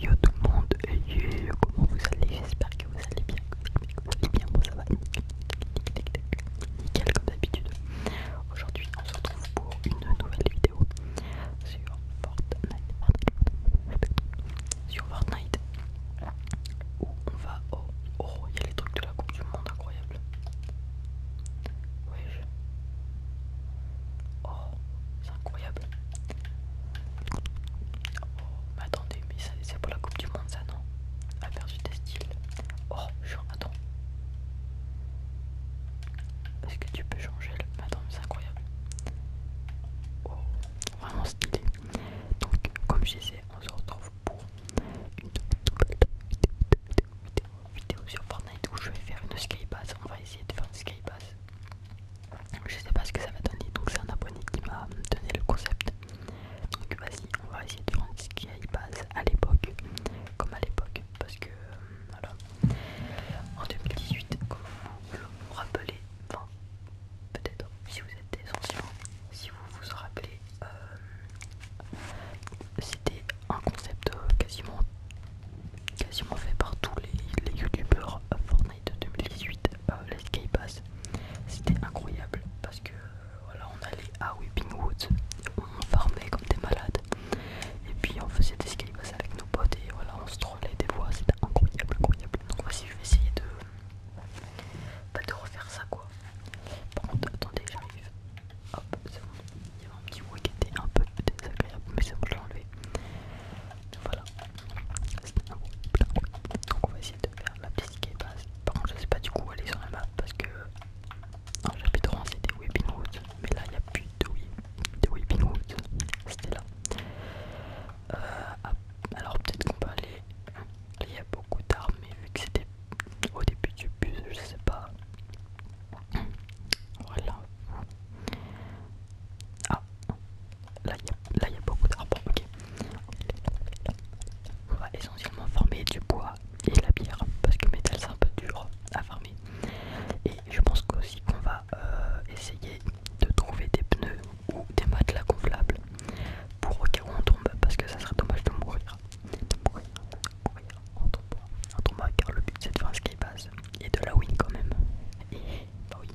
Yo tout le monde, yo, comment vous allez J'espère que vous allez bien, vous allez bien, bon ça va, nickel comme d'habitude. Aujourd'hui on se retrouve pour une nouvelle vidéo sur Fortnite, sur Fortnite, où on va, au… royaume oh, il y a les trucs de la coupe du monde, incroyable. Oh, c'est incroyable. Oh, mais attendez, mais c'est pour la Coupe du Monde, ça non Aperçu tes styles. Oh, genre, attends. Est-ce que tu peux changer le. Mais attends, c'est incroyable. Oh, vraiment stylé. Donc, comme je disais, on se retrouve pour une vidéo sur Fortnite où je vais faire une skybase. On va essayer de faire une skybase je sais pas ce que ça va donner donc c'est un abonné qui m'a donné le concept donc vas-y on va essayer de faire ce qui aille passe à l'époque comme à l'époque parce que euh, voilà en 2018 comme vous vous rappelez enfin peut-être si vous êtes des si vous vous rappelez euh, c'était un concept euh, quasiment quasiment fait par tous les, youtubeurs Fortnite 2018, euh, les Sky C'était incroyable parce que euh, voilà, on allait à Whippingwood Woods, on farmait comme des malades, et puis on faisait des Sky avec nos potes et voilà, on se trollait des fois, c'était incroyable, incroyable. Donc voici, je vais essayer de pas bah, te refaire ça quoi. Par contre, attendez, j'arrive. Hop, c'est bon il y avait un petit mot qui était un peu désagréable, mais c'est bon, je l'ai enlevé. Voilà, c'était un Donc, on va essayer de faire la petite qui Par contre, je sais pas du coup où aller sur la map parce que j'avais euh, chapitre 1 c'était Weeping Woods, mais là il n'y a plus de, de Weeping Woods, c'était là. Euh, ah, alors, peut-être qu'on peut aller. Hein. Il y a beaucoup d'armes, mais vu que c'était au début du bus, je sais pas. Ah. là il y, a beaucoup d'arbres, On va essentiellement farmer du bois et la bière parce que le métal c'est un peu dur à farmer. Et je pense qu'aussi qu'on va euh, essayer de trouver des pneus ou des matelas gonflables pour au cas où on tombe parce que ça serait dommage de mourir en tombant, car le but c'est de faire qui passe et de la win quand même. bah oui.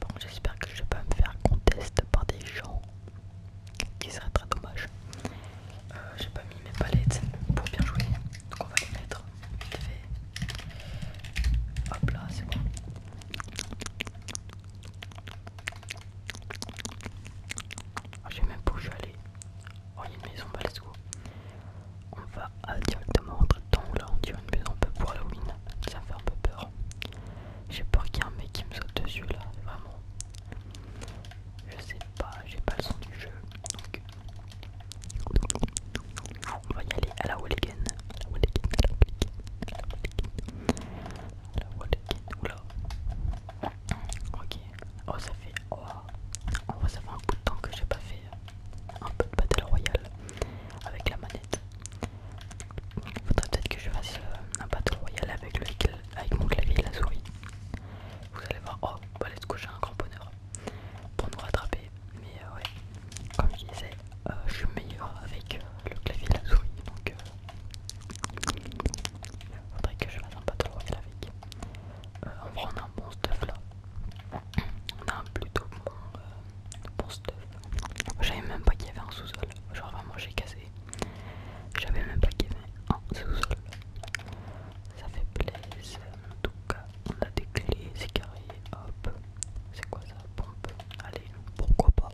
Bon, j'espère que je vais pas me faire contest par des gens qui seraient très dommage. Euh, j'ai pas mis mes palettes pour bien jouer, donc on va les mettre Hop là, c'est bon. J'ai ah, je même pas où je vais Oh, y a une maison, bah, On va directement le temps. Là, on dirait une maison un peu pour Halloween. Ça me fait un peu peur. J'ai peur qu'il y ait un mec qui me saute dessus là, vraiment. Je sais pas, j'ai pas le son du jeu. Donc. On va y aller à la Walligan. La la Walligan, Ok. Oh, ça fait. Oh. ça fait un bout de temps que j'ai pas fait euh, un peu de Battle Royale avec la manette. Il Faudrait peut-être que je fasse euh, un Battle Royale avec, avec mon clavier et la souris. Vous allez voir. Oh, bah, let's go, j'ai un grand bonheur. Pour nous rattraper, mais euh, ouais, comme je disais, euh, je suis meilleur avec euh, le clavier et la souris, donc on faudrait que je fasse un trop royale avec. vrai, on a un bon stuff là, on a un plutôt bon, stuff. J'avais même pas qu'il y avait un sous-sol, genre vraiment j'ai cassé. J'avais même pas qu'il y avait un sous-sol. Ça fait plaisir, en tout cas on a des clés, c'est carré, hop. C'est quoi ça Allez, pourquoi pas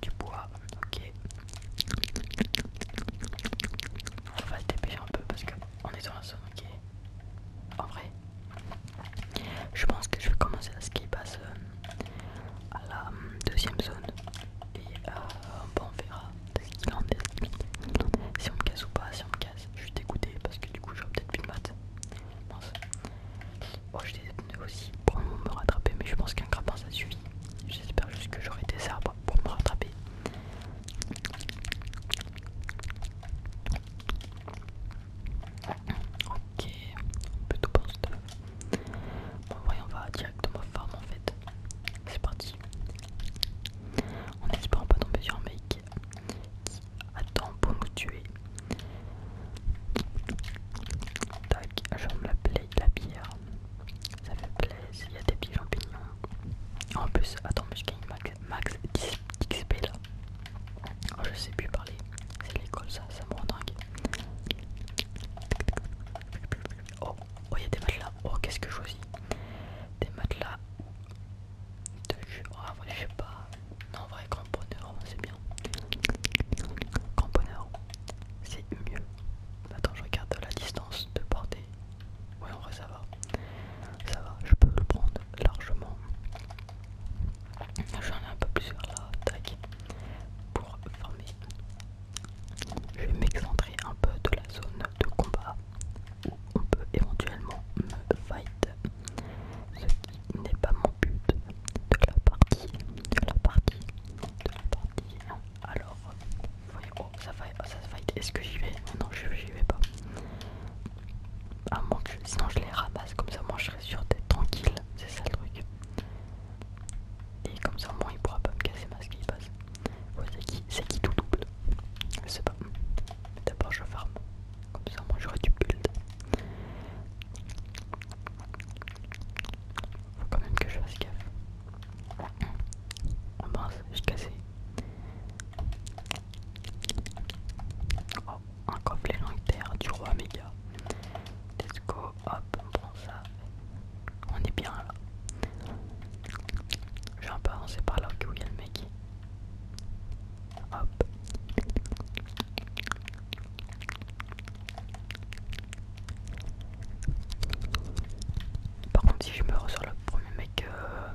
Du bois, ok. On va se dépêcher un peu parce qu'on est dans la zone, ok. En vrai, je pense que je vais commencer à ce qui passe à la hum, deuxième zone. Et euh, on verra ce qu'il en est. Si on me casse ou pas, si on me casse, je suis dégoûté parce que du coup vais peut-être plus de maths. Bon. j'ai je aussi pour me rattraper, mais je pense qu'un grappin ça suffit. J'espère juste que j'aurai des arbres pour me rattraper. Ok, on peut tout stuff. Bon, voyons, on va directement farm en fait. C'est parti. on espérant pas tomber sur un mec qui attend pour nous tuer. Tac, j'aime la, la bière. Ça fait plaisir, il y a des petits champignons. En plus, attends, mais je gagne max, max XP là. Oh, je sais plus parler. C'est l'école ça, ça me rend dingue. Oh, oh il y a des matelas. Oh, qu'est-ce que je choisis Des matelas de oh, je sais pas. Non, en vrai, grand c'est bien. Grand bonheur, c'est mieux. Attends, je regarde la distance de portée. Oui, en vrai, ça va. Ça va, je peux le prendre largement. J'en ai un peu plus sur la tac. Pour former. Je vais m'excentrer un peu de la zone de combat on peut éventuellement me fight, ce qui n'est pas mon but de la partie, de la partie, de la partie. Alors, voyez, oh, ça fight, oh, fight. Est-ce que j'y vais Non, je j'y vais pas. À moins que je, sinon je les ramasse, comme ça moi je serai sûr d'être tranquille, c'est ça le truc. Et comme ça au moins il pourra pas me casser ma qui passe. c'est qui, tout double Je sais pas. D'abord je ferme. Comme ça, moi j'aurai du build. Faut quand même que je fasse gaffe. pense, oh, pense, j'ai cassé. Oh, un coffret terre du roi méga. Let's go, hop, on prend ça. On est bien là. Je un peu avancer par là où il y a le mec. Par contre, si je meurs sur le premier mec euh,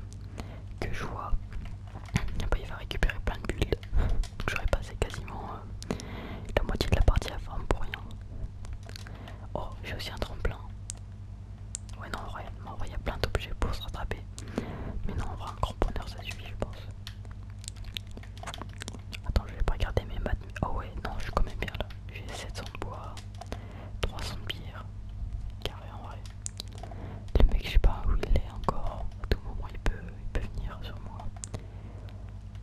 que je vois, bah, il va récupérer plein de bulles. j'aurais passé quasiment euh, la moitié de la partie à forme pour rien. Oh, j'ai aussi un tremplin. Ouais, non, en vrai, il y a plein d'objets pour se rattraper. Mais non, en vrai, un grand bonheur ça suffit, je pense. Attends, je vais pas regarder mes maths. Oh, ouais, non, je suis quand même bien là. J'ai 700 de bois, 300 de bière. Carré en vrai. Le mec, je sais pas où il est encore. À tout moment, il peut, il peut venir sur moi.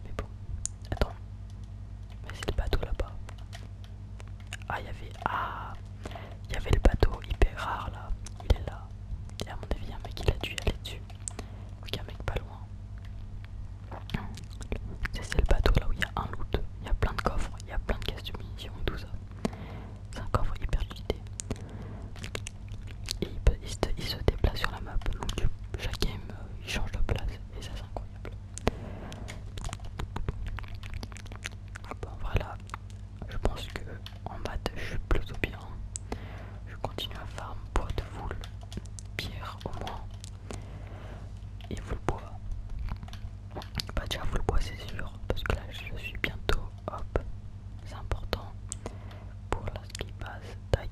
Mais bon, attends. Mais c'est le bateau là-bas. Ah, il y avait. Ah y avait le bateau hyper rare là. Il est là. Et à mon avis, il y a un mec qui l'a dû aller dessus. un mec pas loin. C'est le bateau là où il y a un loot. Il y a plein de coffres, il y a plein de caisses de munitions et tout ça. C'est un coffre hyper cheaté. Et il, se, déplace sur la map. Donc, chaque game, euh, il change de place. Et ça, c'est incroyable. Bon, voilà. Je pense que en maths je suis plutôt bien. Je continue à farm bois de foule, pierre au moins. Et vous bois. Bah déjà vous bois c'est sûr, parce que là je suis bientôt hop. C'est important pour la ski base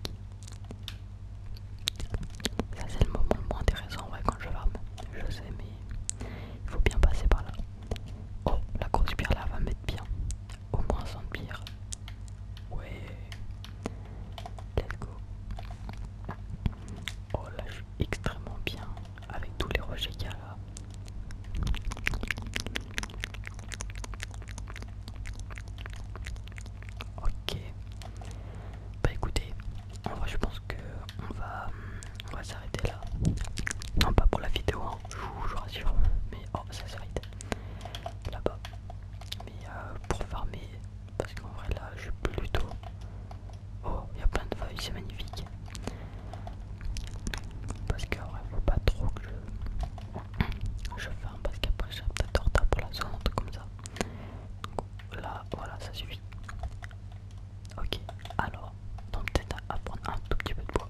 Ça c'est le moment le moins intéressant ouais, quand je farm. Je sais mais il faut bien passer par là. Oh, la grosse pierre là va mettre bien. Au moins 100 bière, Ouais. Let's go. Oh là, je suis extrêmement bien avec tous les rochers qu'il y a là. Ok. Bah écoutez, en je pense que on va, on va s'arrêter là. Non, pas pour la vidéo, hein. je, vous, rassure. Mais oh, ça s'arrête là-bas. Mais euh, pour farmer, parce qu'en vrai là, je suis plutôt. Oh, il y a plein de feuilles, c'est magnifique. Parce qu'en vrai, il faut pas trop que je, je ferme, parce qu'après, j'ai peut-être retard pour la zone, comme ça. Donc, là, voilà, ça suffit. Ok, alors, donc peut-être à, prendre un tout petit peu de bois.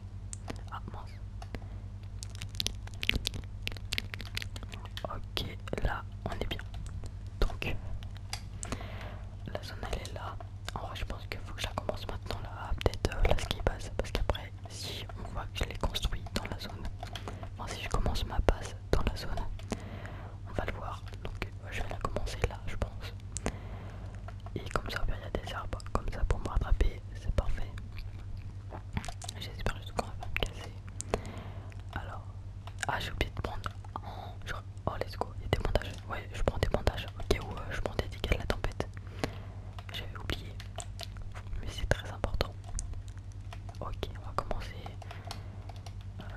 Ah mince. Ok, là on est bien. Donc, la zone elle est là. En vrai, je pense qu'il faut que je la commence maintenant là, peut-être euh, là ce qui passe, parce qu'après, si on voit que je l'ai construit dans la zone, enfin si je commence ma base dans la zone, on va le voir. Donc, je vais la commencer là, je pense. Et comme ça, il y a des arbres comme ça pour me rattraper, c'est parfait. J'espère juste qu'on va pas me casser. Alors, ah, j'ai oublié de prendre. Oh, let's go, il y a des montages, Ouais, je prends des montages. Ok ouais, euh, je prends des dégâts de la tempête. J'avais oublié, mais c'est très important. Ok, on va commencer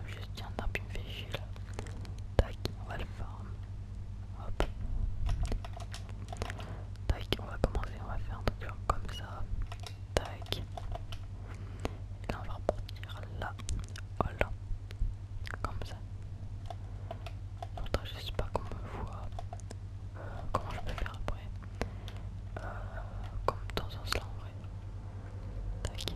je tiens, non, végé, une me là. Tac, on va le faire Hop. Tac, on va commencer, on va faire un truc comme ça. Tac. Et là, on va repartir là. Voilà. Comme ça. Attends, je sais pas qu'on me voit. comment je peux faire après euh, Comme dans ce sens en vrai. Tac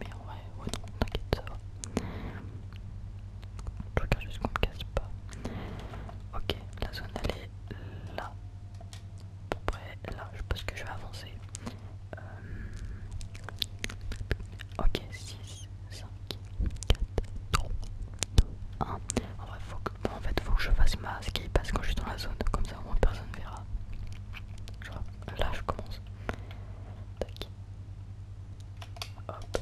Mais en vrai, ouais, non, t'inquiète, ça va. Je regarde juste qu'on me casse pas. Ok, la zone elle est là. À peu près là, je pense que je vais avancer. Euh, ok, 6, 5, 4, 3, 2, 1. En vrai, faut que, en fait, faut que je fasse ma ski parce que quand je suis dans la zone, comme ça au moins personne verra. vois, là je commence. Hop.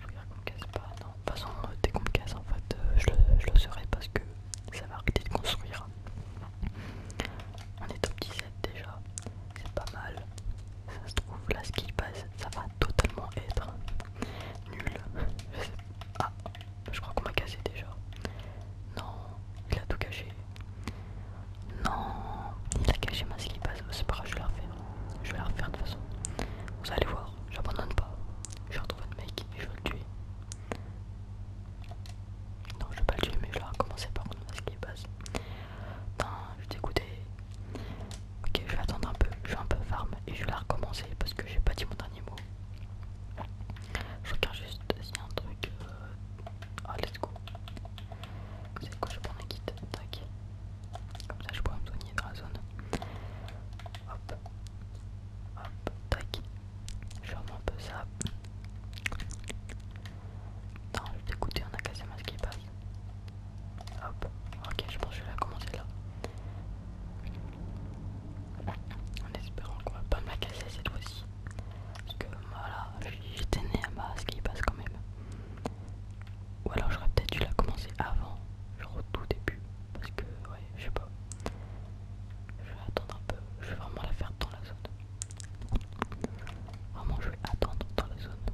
je qu'on casse pas, non. façon, euh, dès qu'on casse, en fait, euh, je, le, serai parce que ça va arrêter de construire. On est top 17 déjà, c'est pas mal. Ça se trouve, là, ce qui passe, ça va totalement être nul. Je Ah, je crois qu'on m'a cassé déjà. Non, il a tout caché. Non, il a caché ma slip, c'est pas grave, je vais la refaire. Je vais la refaire de toute façon. Vous allez voir, j'abandonne pas. Je vais retrouver le mec et je vais le tuer. Non, je vais pas le tuer, mais je vais recommencer par contre ma slip base. Non, je vais dégoûté. Ok, je vais attendre un peu, je vais un peu farm et je vais la recommencer parce que j'ai pas dit mon dernier mot. Je regarde juste si un truc. Euh, oh let's go. Vous savez quoi, je prends un kit Tac. Comme ça, je pourrais me soigner dans la zone. Hop. Hop. Tac. Je remonte un peu ça. Non, je suis t'écouter on a cassé ma qui passe. Hop. Ok, je pense que je vais la commencer là. En espérant qu'on va pas me la casser cette fois-ci. Parce que voilà, j'étais né à qui passe quand même. Ou alors j'aurais peut-être dû la commencer avant, genre au tout début. Parce que ouais, je sais pas. Je vais attendre un peu, je vais vraiment la faire dans la zone. Vraiment je vais attendre dans la zone.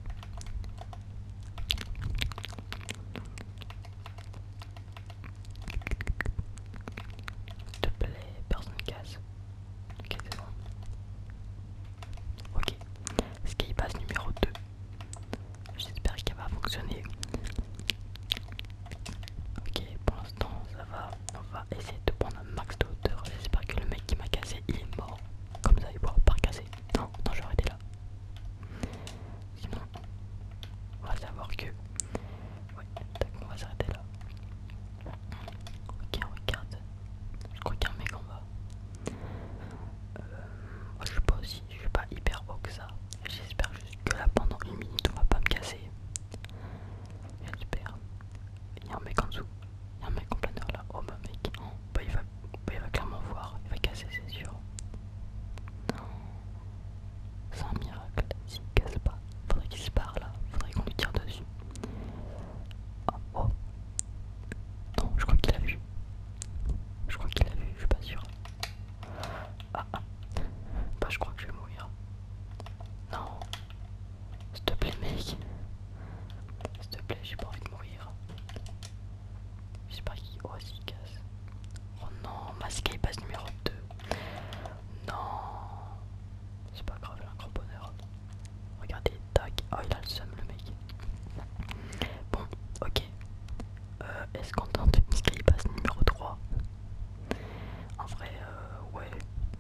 S'il te plaît, personne casse. Ok, c'est bon. Ok, numéro 2. J'espère qu'elle va fonctionner. Ok, pour l'instant ça va. On va essayer de prendre un max de hauteur. J'espère que le mec qui m'a cassé il est mort. Comme ça il pourra pas casser. Non, non, je vais arrêter là. Sinon, on va savoir que. Ouais, on va s'arrêter là. Ok, regarde. Je crois qu'il y a un mec en bas. Euh, moi, je suis pas aussi, je suis pas hyper haut que ça. J'espère juste que là, pendant une minute, on va pas me casser. J'espère. Il y a un mec en dessous. Il y a un mec en air là. Oh bah mec, hein. bah, bah, il, va, clairement voir. Il va casser, c'est sûr. Non. C'est un miracle. S'il casse pas, faudrait qu'il se barre là. Faudrait qu'on lui tire dessus. Oh, Non, je crois qu'il a vu. Je crois qu'il l'a vu, je suis pas sûr. Ah ah. Bah je crois que je vais mourir. Non. S'il te plaît mec. S'il te plaît, j'ai pas envie de mourir. Je sais pas qu'il... Oh, casse. Oh non, masqué, numéro 2. Non. C'est pas grave, un grand bonheur. Regardez, tac. Oh, il a le seum, le mec. Bon, ok. Euh, est-ce qu'on tente une passe numéro 3 En vrai, euh, ouais.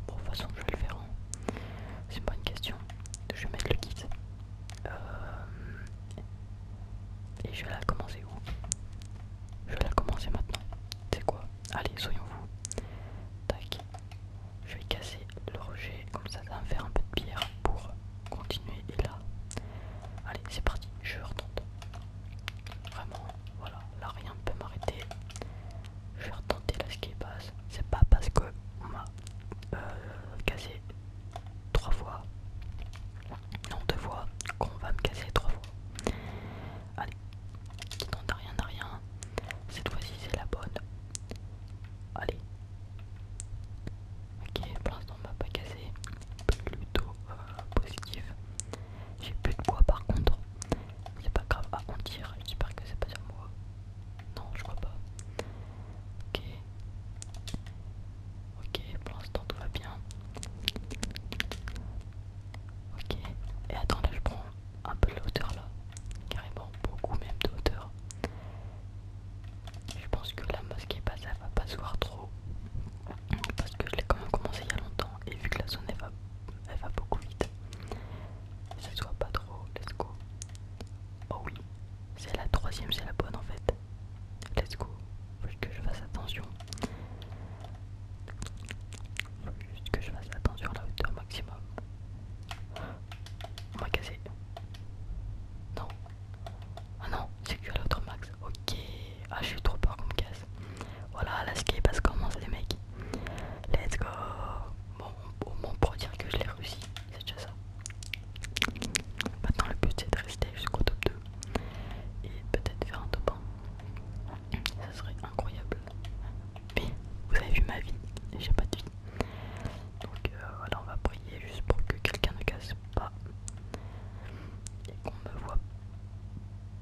Bon, de toute façon, je vais le faire. Hein. C'est pas une question. Je vais mettre le kit. Euh, et je vais la commencer où Je vais la commencer maintenant. C'est quoi Allez, soyons vous. Tac. Je vais casser le rejet comme ça ça va faire un peu de pierre pour continuer et là. Allez c'est parti, je retente. Vraiment, voilà, là rien ne peut m'arrêter. Je vais retenter là ce qui passe. C'est pas parce que m'a euh, cassé trois fois. Non deux fois qu'on va me casser trois fois. Allez, qui tente rien, à rien. Cette fois-ci, c'est la bonne. Allez. Ok, pour l'instant, on m'a pas cassé. Plutôt euh, positif. J'ai plus de quoi par contre. C'est pas grave. À ah, on J'espère que c'est pas sur moi. Non, je crois pas. Ok. Ok, pour l'instant, tout va bien. Ok. Et attends, là, je prends un peu de hauteur là, carrément beaucoup même de hauteur. Je pense que la mosquée pas ça va pas se voir trop parce que je l'ai quand même commencé il y a longtemps et vu que la zone va, elle va beaucoup vite, ça se voit pas trop. Let's go. Oh oui, c'est la troisième, c'est la bonne en fait. Let's go. Faut que je fasse attention. Juste que je fasse attention à la hauteur maximum. On va casser. Non. Ah non, c'est que à la hauteur max. Ok. Ah, je suis trop peur qu'on me casse. Voilà, la ski passe commence les mecs. Let's go. Bon, au moins pour dire que je l'ai réussi. C'est déjà ça. Maintenant, le but c'est de rester jusqu'au top 2 et peut-être faire un top 1. Ça serait incroyable. Mais Vous avez vu ma vie, j'ai pas de vie. Donc euh, voilà, on va prier juste pour que quelqu'un ne casse pas et qu'on me voit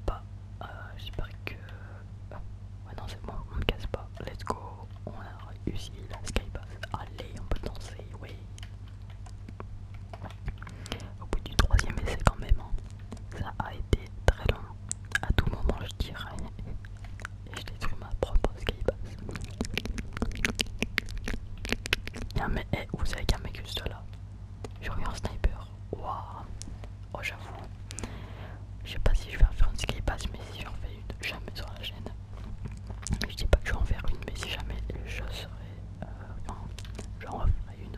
pas. Euh, j'espère que. Euh, ouais, non, c'est moi. on me casse pas. Let's go, on a réussi la skypass. Allez, on peut danser, oui. Au bout du troisième essai, quand même, hein. ça a été très long à tout moment je tire et je détruis ma propre skypass Non mais eh, vous savez qu'il y a un mec juste là. Je un sniper. Waouh. Oh j'avoue. Je sais pas si je vais en faire une skypass mais si j'en fais une, jamais sur la chaîne. Je dis pas que je vais en faire une mais si jamais je serai... Je euh, en j'en une.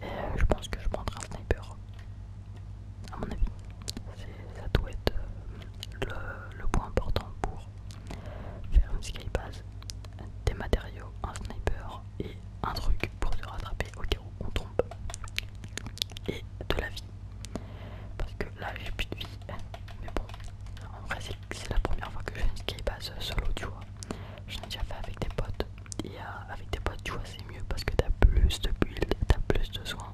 Et euh, je pense que je prendrai un sniper. À mon avis, ça doit être euh, le, point important pour faire une skybase. Des matériaux, un sniper et un truc pour se rattraper au cas où on tombe. Et de la vie. Parce que là j'ai plus de vie. Mais bon, en vrai c'est la première fois que j'ai une skybase solo, tu vois. Je l'ai déjà fait avec des potes. Et euh, avec tes potes, tu vois, c'est mieux parce que t'as plus de build, t'as plus de soins.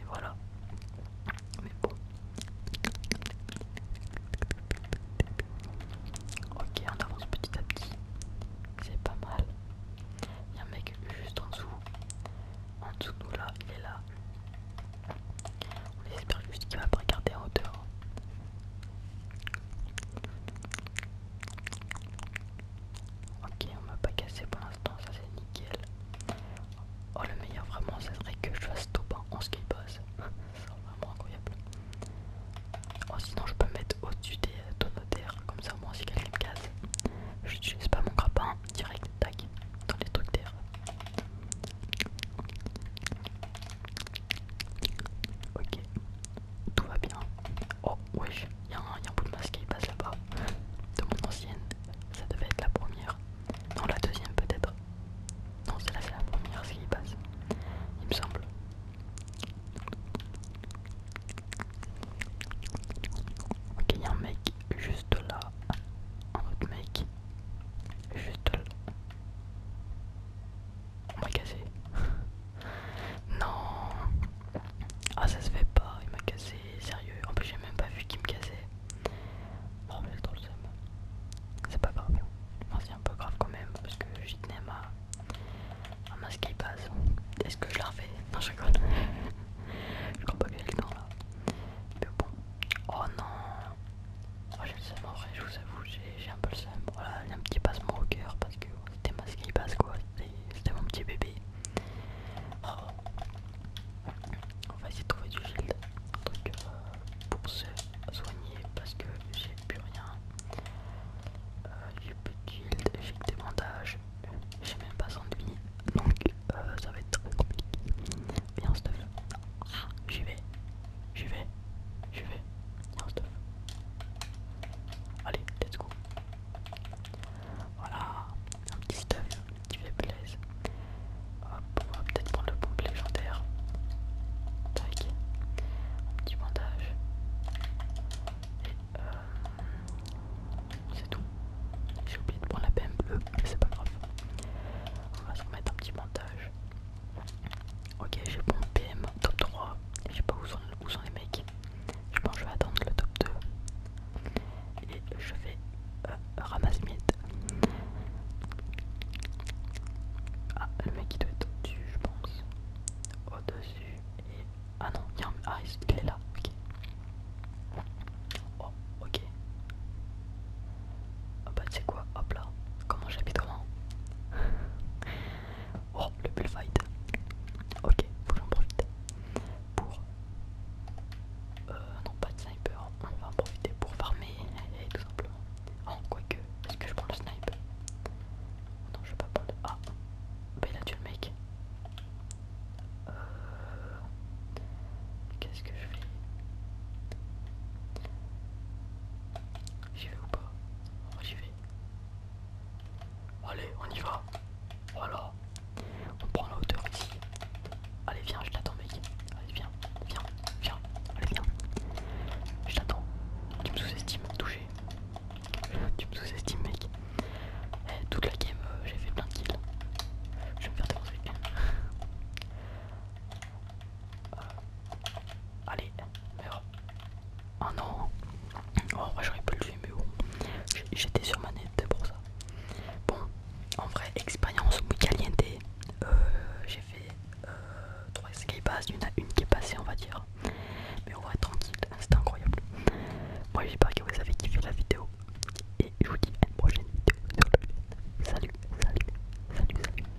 Et voilà. Mais bon. Ok, on avance petit à petit. C'est pas mal. Il y a un mec juste en dessous. En dessous de nous là, il est là. On espère juste qu'il va pas regarder en hauteur. Ok, on m'a pas cassé pour l'instant, ça c'est nickel. Oh, le meilleur vraiment, ça serait que je fasse top 1 en skypass. c'est vraiment incroyable. Oh, sinon, je peux mettre au-dessus des euh, terre comme ça, au moins, si quelqu'un me casse, je n'utilise pas mon grappin direct, tac, dans les trucs d'air. Ok, tout va bien. Oh wesh, il y, y, a un bout de masque qui passe là-bas. De mon ancienne, ça devait être la première. Non, la deuxième peut-être. Non, celle-là c'est la première, ce qui passe. Il me semble. Ok, il y a un mec juste là. Un autre mec. Juste là. On m'a cassé. non. Ah ça se fait pas, il m'a cassé, sérieux. En plus j'ai même pas vu qu'il me cassait. bon oh, mais c'est le seum. C'est pas grave. Moi c'est un peu grave quand même parce que j'y tenais ma... Ma masque passe. Est-ce que je la refais Non je rigole. je crois pas que j'ai le temps là. Mais bon. Oh non. Oh, j'ai le seum en vrai, je vous avoue, j'ai un peu le seum. Voilà, il un petit passe au cœur parce que c'était ma ski passe quoi, c'était mon petit bébé. On va essayer de trouver du shield, truc euh, pour se soigner parce que j'ai plus rien. Euh, j'ai plus de shield, j'ai des j'ai même pas d'enduit donc euh, ça va être très compliqué. Viens, stuff. Ah, j'y vais, j'y vais, j'y vais. Allez, let's go. Voilà, un petit stuff, qui fait faiblesse. Hop, on va peut-être prendre le pompe légendaire. Tac. Un petit montage. Et euh, c'est tout. J'ai oublié de prendre la PM bleue, mais c'est pas grave. On va se remettre un petit montage. Ok, j'ai bon PM, top 3. Je sais pas où sont, les mecs. Je pense que je vais attendre le top 2. Et je vais euh, ramasser mid. Ah, le mec il doit être au-dessus, je pense. Au-dessus. Et... Ah non, il ah, est là, ok. Oh, ok. Ah oh, bah, tu sais quoi, hop là. Comment j'habite comment Oh, le bullfight. Ok, faut que j'en profite pour. Euh, non, pas de sniper. On va en profiter pour farmer, et tout simplement. Oh, quoique, est-ce que je prends le sniper Non, je vais pas prendre Ah, Ben, il a le mec. Euh. Qu'est-ce que je fais J'y vais ou pas J'y vais. Allez, on y va. Voilà. On prend la hauteur ici. Allez, viens, je t'attends, mec. Allez, viens, viens, viens. Allez, viens. Je t'attends. Tu me sous-estimes, touché. Tu me sous-estimes, mec. Eh, toute la game, euh, j'ai fait plein de kills. Je vais me faire défoncer. Euh, Allez, meurs. Oh non. Oh, moi j'aurais pu le faire, mais bon. J'étais sur ma nette pour ça. Bon, en vrai, expérience muy euh, J'ai fait euh, trois 3 bases, il y une qui est passée, on va dire. Mais on va être tranquille, c'était incroyable. Moi j'espère que vous avez kiffé la vidéo. Et je vous dis à une prochaine vidéo salut, salut, salut.